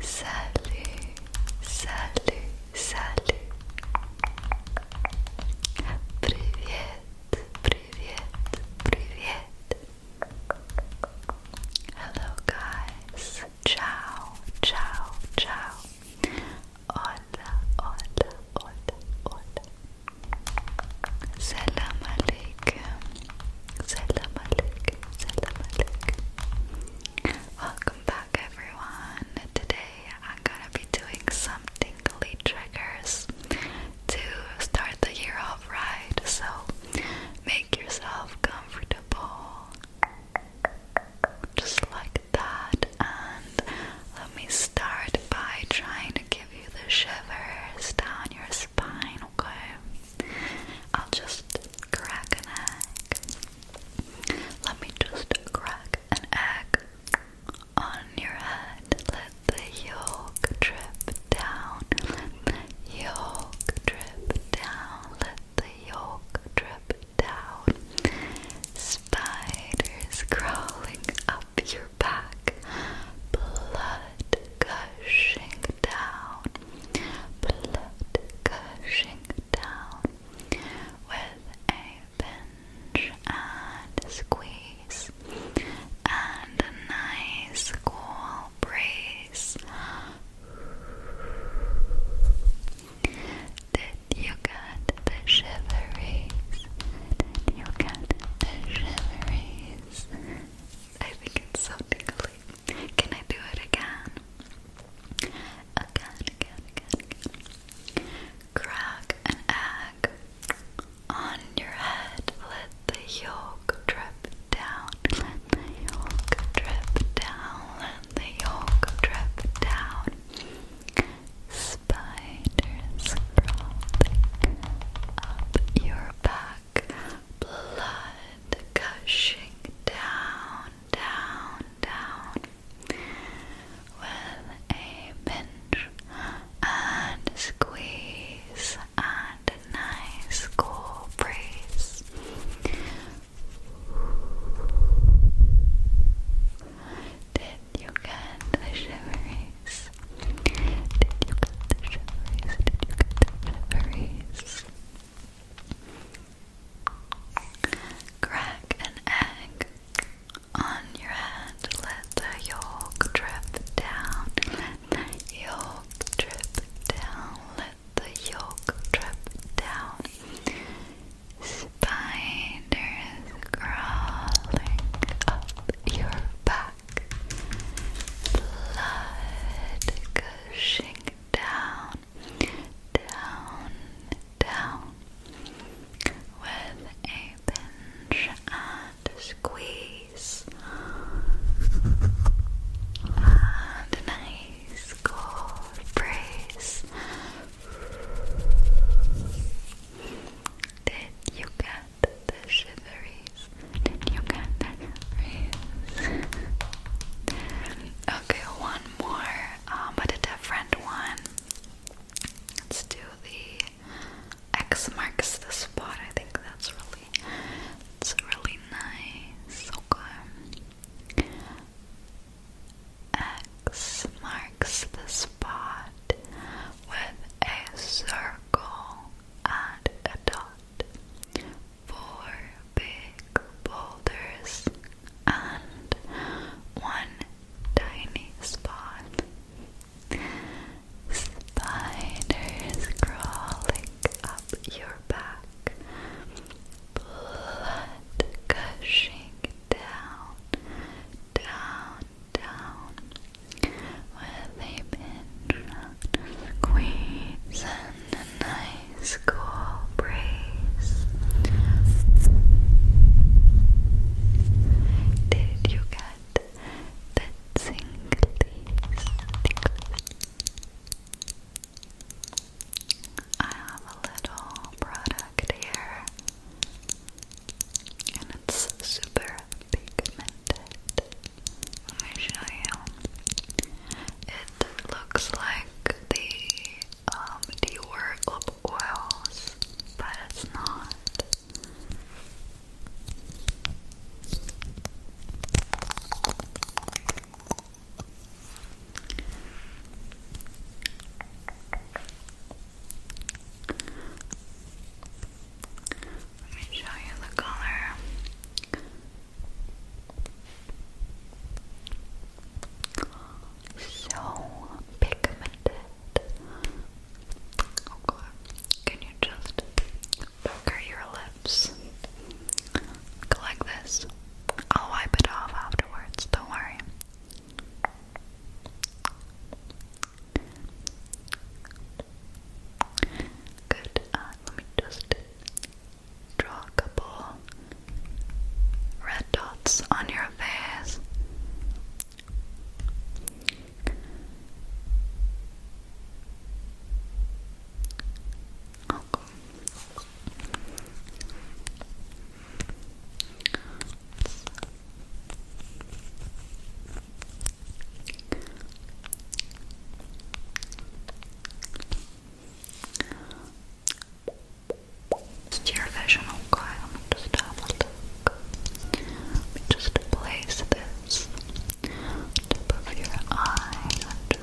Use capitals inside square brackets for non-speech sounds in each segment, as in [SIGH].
Salut, salut, salut. Привет, привет, привет. Hello guys es ciao, ciao, ciao. Hola, hola, hola, hola. Salam alaikum. Salam Welcome back, everyone. Today I'm gonna be doing some tingly triggers to start the year off right. So make yourself comfortable. Just like that, and let me start by trying to give you the shivers down your spine, okay? I'll just crack an egg. Let me just crack an egg on your head. Let the yolk drip down. yolk drip down. Let yolk drip down. Spiders crawling up your back. Blood gushing down. Blood gushing down. With a pinch and squeeze. And a nice cool breeze did you get the shiveries? you get the shiveries? I think it's so tickly. Can I do it again? Again, again, again, again. Crack an egg on your head. Let the yolk drip down. the yolk drip down the yolk drip down. Spiders crawling up your back, blood gushing down, down, down. With a pinch and squeeze and nice cool breeze, did you get the shiveries? Did you get the shiveries? Did you get the shiveries? Crack an egg on your hand. Let the yolk drip down. yolk drip down the yolk drip down. Spiders crawling up your back. Blood gushing down, down, down. With a pinch and squeeze. And nice. Did you get the shiveries? Did you get the shiveries? [LAUGHS] okay, one more, um, but a different one. Let's do the X marks the spot. I think that's really, it's really nice. Okay. X marks the spot with a circle and a dot. Four big boulders and one tiny spot. Spiders crawling up your back blood gushing down, down, down with a pinch of squeeze and a breeze. Did you get the tingly, I have a little product here, and it's super pigmented. Let me show you. It looks like the um, Dior lip oils, but it's not. Let me show you the color. So pigmented. Oh god. Can you just pucker your lips? Go like this. I'll wipe it off afterwards, don't worry. Good, uh, let me just draw a couple red dots on your face. Okay. It's your vision, okay? I'm going just place this tip of your eye and just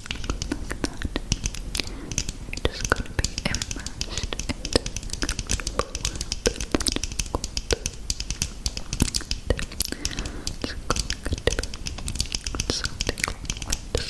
Look at that. You're just going to be immersed in the comfortable world. It's going to be something like this. Figure out how to make it. Okay. Maybe, maybe we could just put this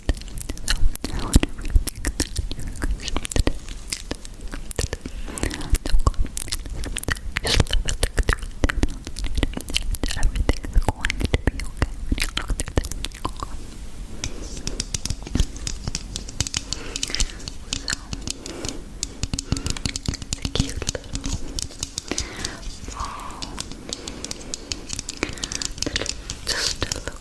So, I want to really thank you guys for today. Just love it, look through it. Everything's going to be okay when you look through this. So, it's a cute little ball. Just to look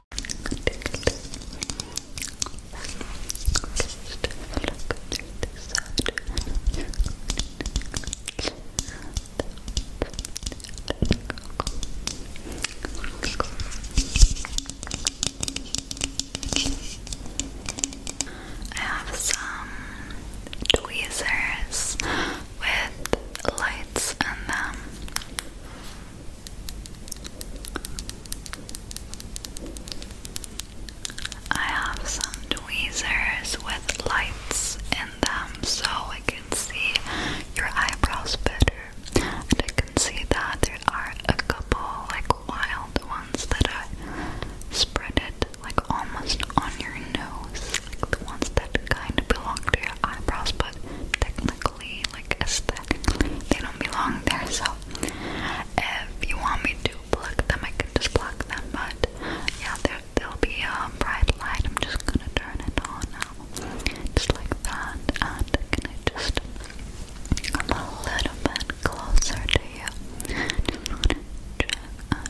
Florida. I have some tweezers with lights in them. I have some tweezers with lights in them so I can see your eyebrows better. And I can see that there are a couple like wild ones that I spreaded like almost on your nose. Like the ones that kind of belong to your eyebrows but technically like aesthetically, they don't belong there. So if you want me to block them, I can just block them. But yeah, there there'll be a bright light. I'm just gonna turn it on now, just like that. And can I just come a little bit closer to you? Just wanna check and pluck.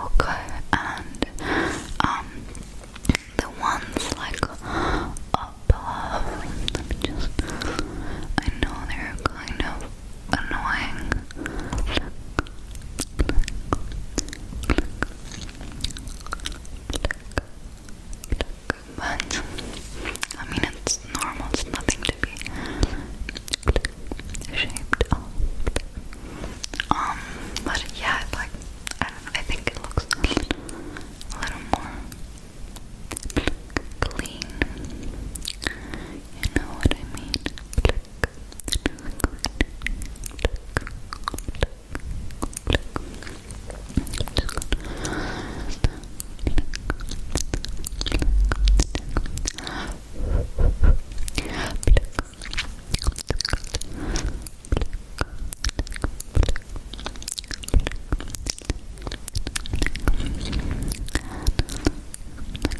Okay, and um, the ones like uh, up. just. I know they're kind of annoying. But I mean, it's normal. It's nothing to be ashamed of. Um, but yeah, like I, I think it looks a little more Pluck, clean. You know what I mean?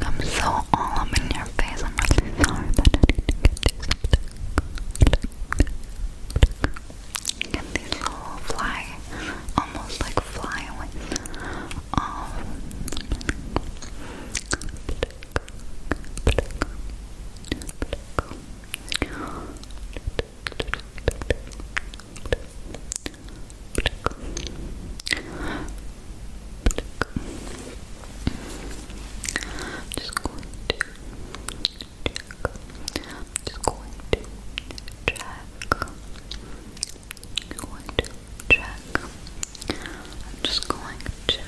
I'm so all up in your face. I'm really sorry that not get to these little fly, almost like flyaways. Um, just going to check. I'm just going to check. I'm going to check. I'm just going to check. Check. Check. Check. check.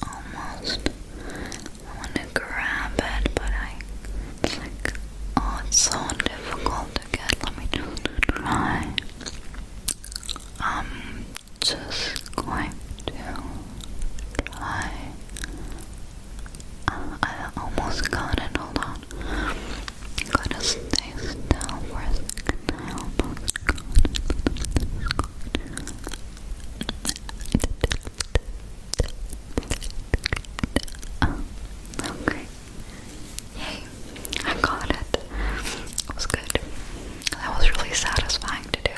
Almost. I want to grab it, but I. oh, it's so difficult to get. Let me try. Um, just going to try. Uh, I almost got it. Hold on. i to stay still for a second. okay. Yay! I got it. It was good. That was really satisfying to do.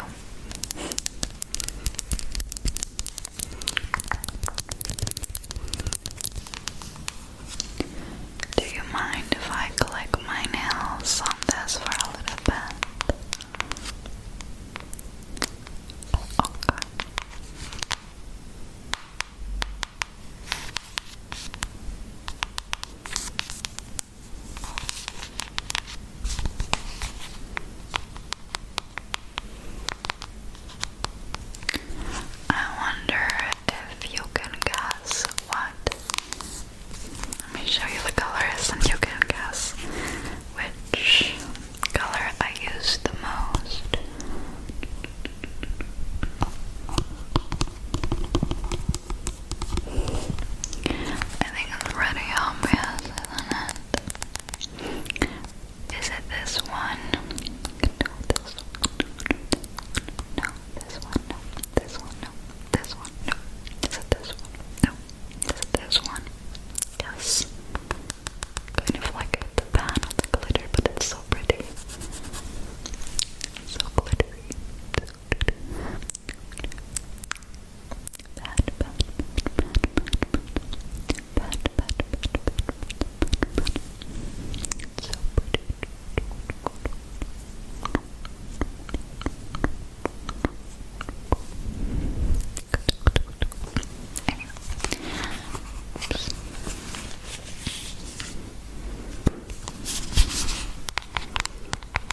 Do you mind if I click my nails on this for a little bit? Okay. I wonder if you can guess what. Let me show you the colors and you can guess which color I use the most. I think it's pretty obvious, is it this one? No, this one. No, this one. No, this one. No, Is it this one? No. Is it this one? Yes. Kind of like the pan on the glitter, but it's so pretty. So glittery. So glittery pat, pat, pat, pat, pat, pat, pat, It's so pretty. Anyway. Oops. Okay.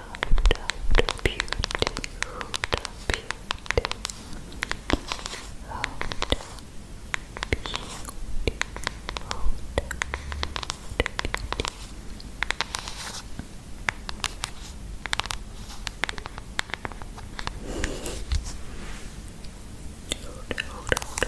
the beauty, the beauty, oh, the beauty, oh, the beauty. Hold it, hold it, hold it, hold it. Hold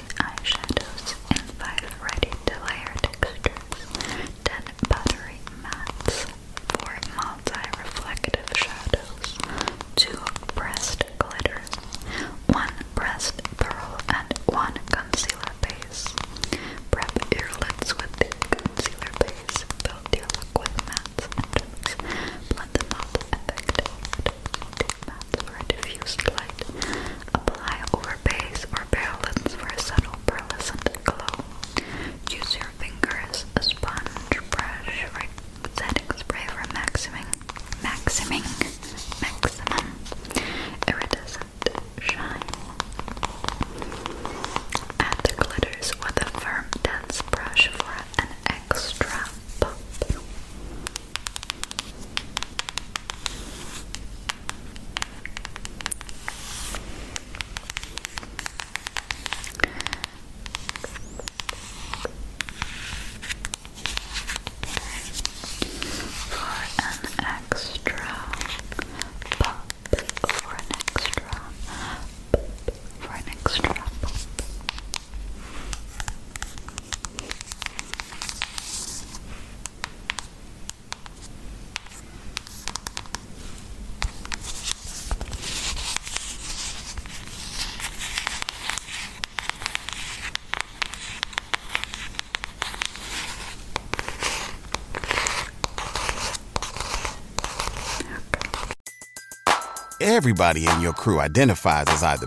eyeshadows and 5 ready-to-layer textures, 10 buttery mattes, 4 multi-reflective shadows, 2 pressed glitters, 1 pressed pearl, and 1 concealer base. Prep your with the concealer base, build your look with mattes and twigs, blend them up effectively. Matte for a diffused light. Apply over base or bare lips for a subtle pearlescent glow. Use your fingers, a sponge, brush, or setting spray for a maximizing, maximizing, maximum iridescent shine. Add the glitters with a firm, dense brush for an extra pop. For an extra pop, for an extra pop, for an extra pop. Everybody in your crew identifies as either